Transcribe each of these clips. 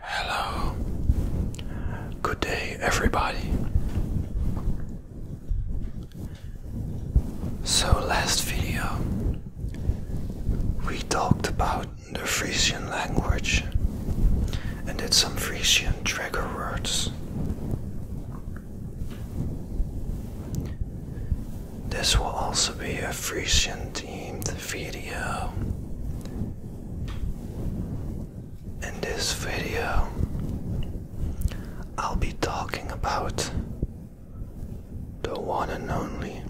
Hello. Good day, everybody. So, last video we talked about the Frisian language and did some Frisian trigger words. This will also be a Frisian themed video. In this video, I'll be talking about the one and only,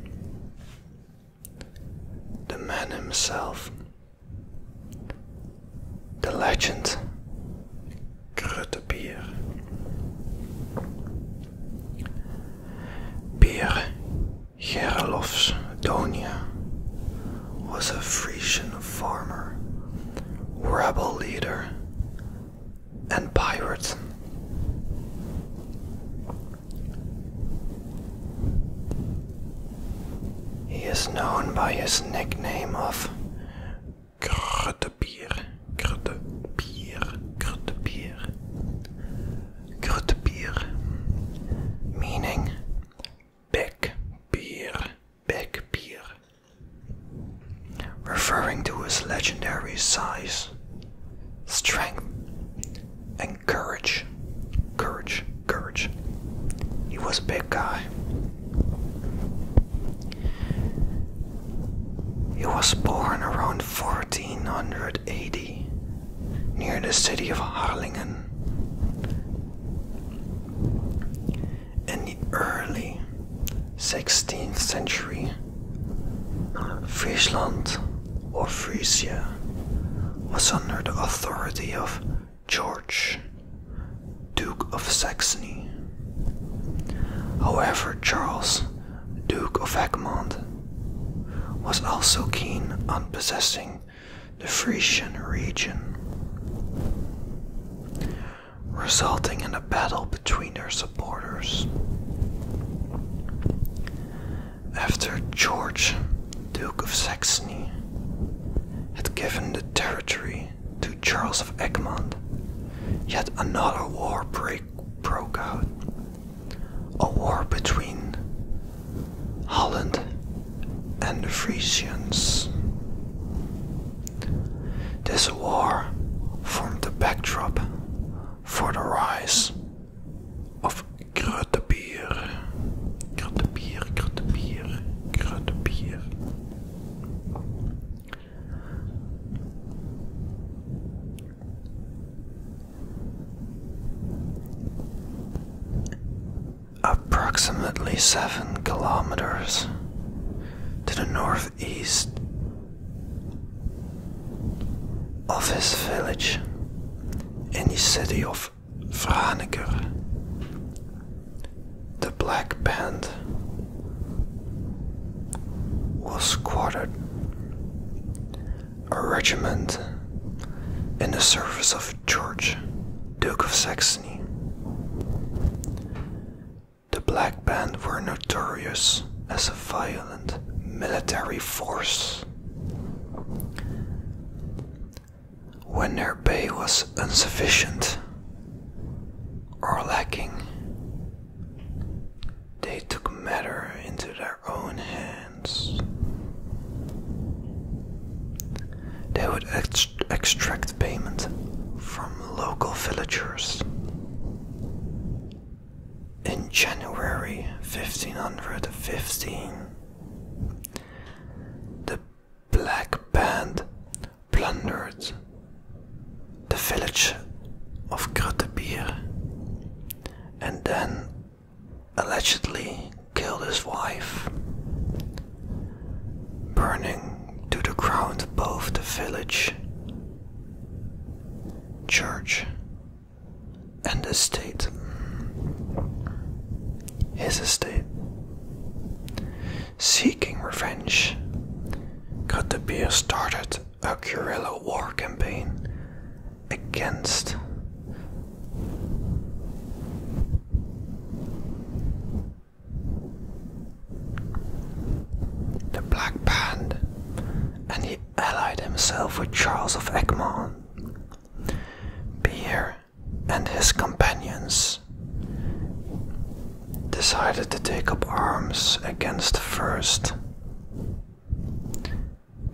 the man himself, the legend, Gruttebier. Peer Gerolof's Donia was a Frisian farmer, rebel leader, and pirate. He is known by his nickname of Kruttebier, Kruttebier, Kruttebier, Grutbier, meaning big beer, big beer, referring to his legendary size, strength, and courage. Courage, courage. He was a big guy. He was born around 1480 near the city of Harlingen. In the early 16th century, Frisland or Frisia was under the authority of George, Duke of Saxony. However, Charles Duke of Egmont, was also keen on possessing the Frisian region, resulting in a battle between their supporters. After George, Duke of Saxony, had given the territory to Charles of Egmont, yet another war break broke out a war between Holland and the Frisians. This war formed the backdrop for the rise of Grotebier. Grotebier, Grotebier, Grotebier. Approximately 7 kilometers to the northeast of his village in the city of Franeker, the Black Band was quartered a regiment in the service of George, Duke of Saxony. The Black Band were notorious as a violent military force. When their pay was insufficient or lacking, they took matter into their own hands. They would extract payment from local villagers. In January 1515, the Black Band plundered the village of Grottebier and then allegedly killed his wife, burning to the ground both the village, church, and estate. His estate. Seeking revenge, got the Katapir started a guerrilla war campaign against the Black Band, and he allied himself with Charles of Egmont. Beer and his companions decided to take up arms against the first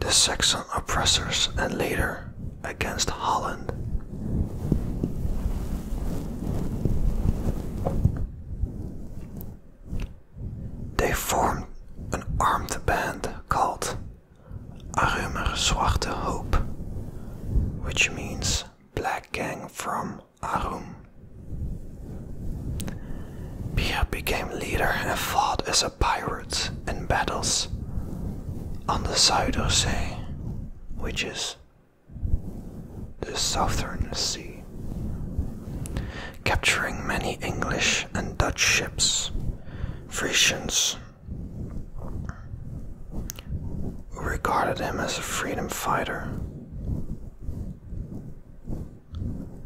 the Saxon oppressors and later against Holland. They formed an armed band called Arumer Zwarte Hoop, which means Black Gang from Arum. Pia became leader and fought as a pirate in battles on the South Sea, which is the southern sea, capturing many English and Dutch ships. Frisians regarded him as a freedom fighter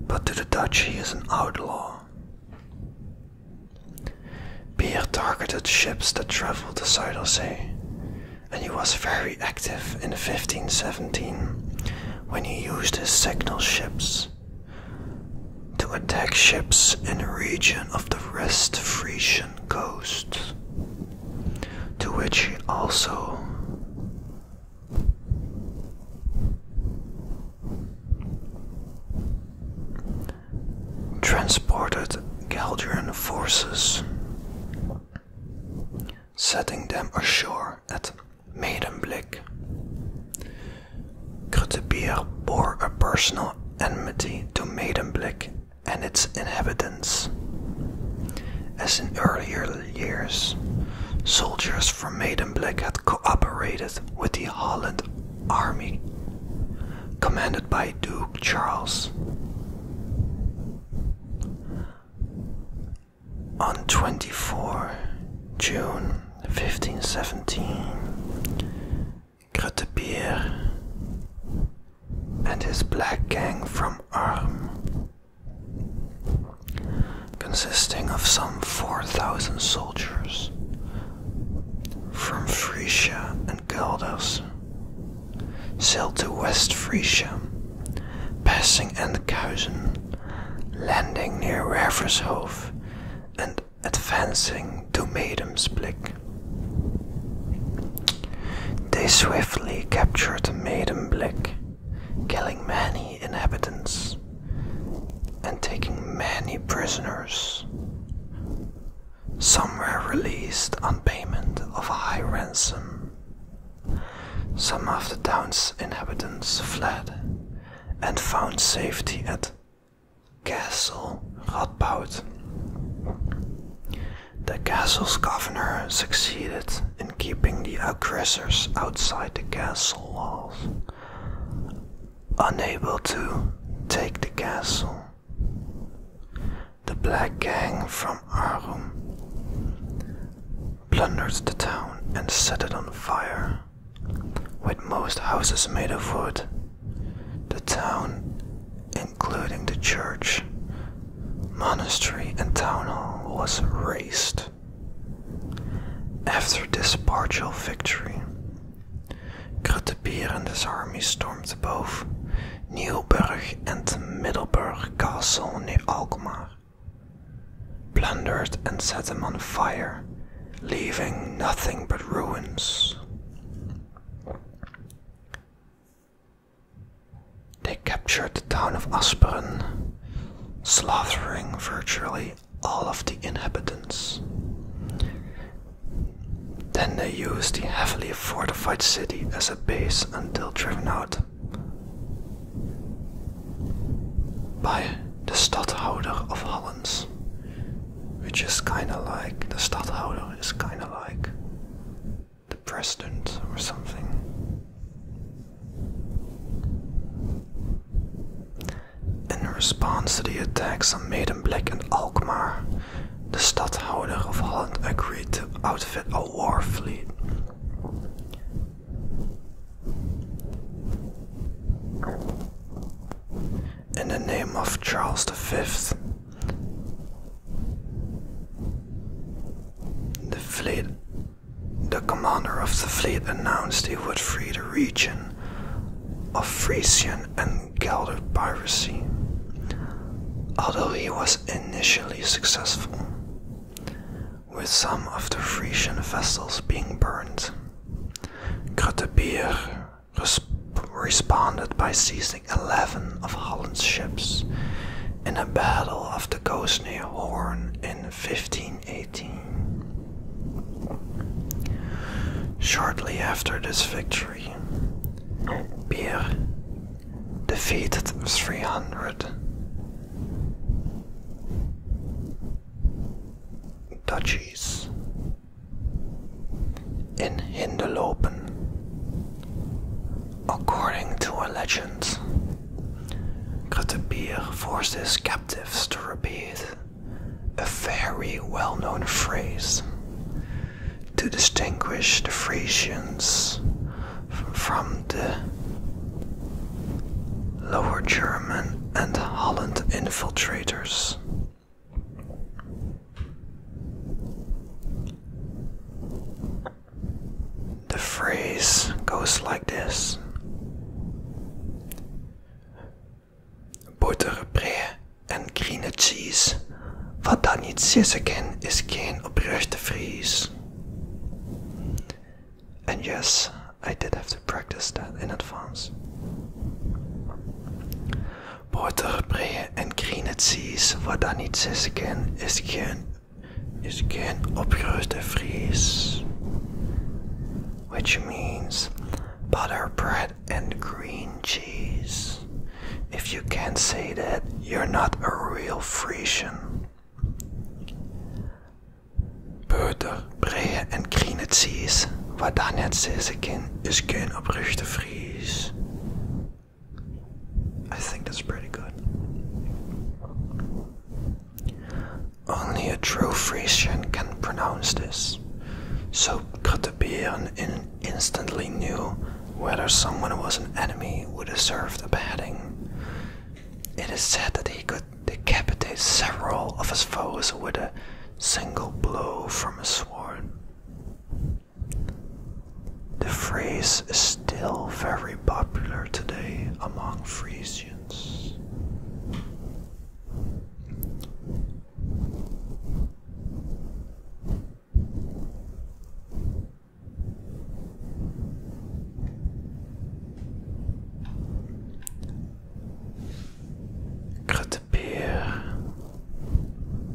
but to the Dutch he is an outlaw. Beer targeted ships that traveled the Zuider Sea, and he was very active in 1517 when he used his signal ships to attack ships in the region of the West Frisian coast, to which he also transported Galdran forces, setting them ashore at Maidenblik. Krutebeer bore a personal enmity to Maidenblik and its inhabitants. As in earlier years, soldiers soldiers from Maidenblick had cooperated with the Holland army, commanded by Duke Charles. On 24 June 1517, Grotebier and his black gang from Arm consisting of some 4,000 soldiers from Frisia and Galdus, sailed to West Frisia, passing Endhausen, landing near Revershof, and advancing to Medemsblick. They swiftly captured Medemblick, killing many inhabitants and taking many prisoners. Some were released on payment of a high ransom. Some of the town's inhabitants fled and found safety at Castle Radboud. The castle's governor succeeded in in keeping the aggressors outside the castle walls. Unable to take the castle, the Black Gang from Arum plundered the town and set it on fire. With most houses made of wood, the town, including the church, monastery, and town hall, was razed. After this partial victory, Krutebeer and his army stormed both Nieuwburg and Middleburg Castle near Alkmaar, plundered and set them on fire, leaving nothing but ruins. They captured town of Asperen, slaughtering virtually all of the inhabitants. Then they used the heavily fortified city as a base until driven out by the Stadhouder of Holland, which is kind of like the Stadhouder is kind of like the president or something. In response to the attacks on Maidenblik and Alkmaar, the stadtholder of Holland agreed to outfit a war fleet. In the name of Charles V, the fleet the commander of the fleet announced he would free the region of Frisian and Celtic piracy, although he was initially successful, with some of the Frisian vessels being burned. Grotebeer responded by seizing 11 of Holland's ships in a battle off the coast near Horn in 1580. Shortly after this victory, Beer defeated 300 duchies in Hindelopen. According to a legend, Gretebir forces captives to repeat a very well known phrase to distinguish the Frisians from the Lower German and Holland infiltrators. The phrase goes like this Boterbrei en green cheese. Wat daar niet sissen is geen oprechte vries. And yes, I did have to practice that in advance. Boterbrei en green cheese. Wat daar niet sissen is geen is geen opgeruste Fries, which means butter bread and green cheese. If you can't say that, you're not a real Frisian. Butter, bread and green cheese, wat daar net zeggen kan, is geen opgeruste Fries. I think that's pretty good. Only a true Frisian can pronounce this. So Kotobian instantly knew whether someone was an enemy or deserved a beheading. It is said that he could decapitate several of his foes with a single blow from his sword. The phrase is still very popular today among Frisians experience.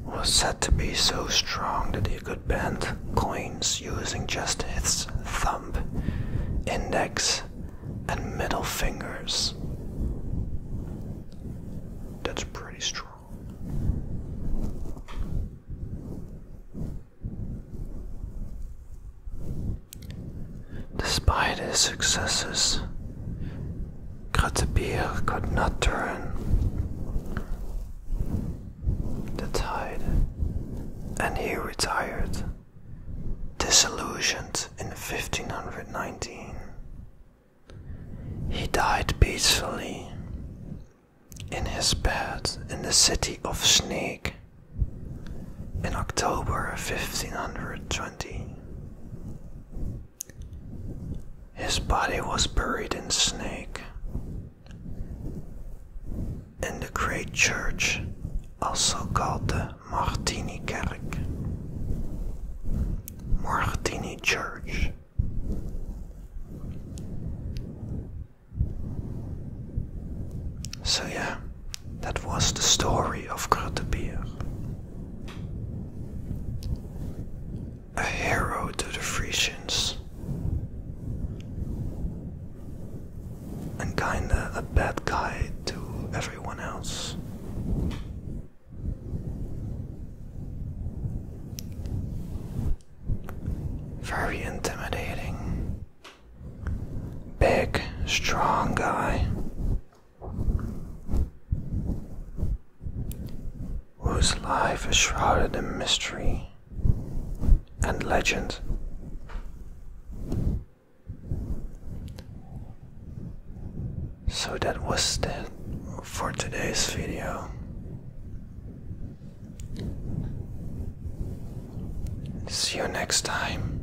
was said to be so strong that he could bend coins using just his thumb index, and middle fingers. That's pretty strong. Despite his successes, Kratzebier could not turn the tide, and he retired, disillusioned in 1519. He died peacefully in his bed in the city of Snake in October 1520. His body was buried in Snake in the great church, also called the Martini Church. So, yeah, that was the story of Grotebier. A hero to the Frisians and kinda a bad guy to everyone else. Very intimidating. Big, strong guy whose life is shrouded in mystery and legend. So that was it for today's video. See you next time.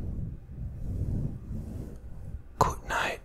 Good night.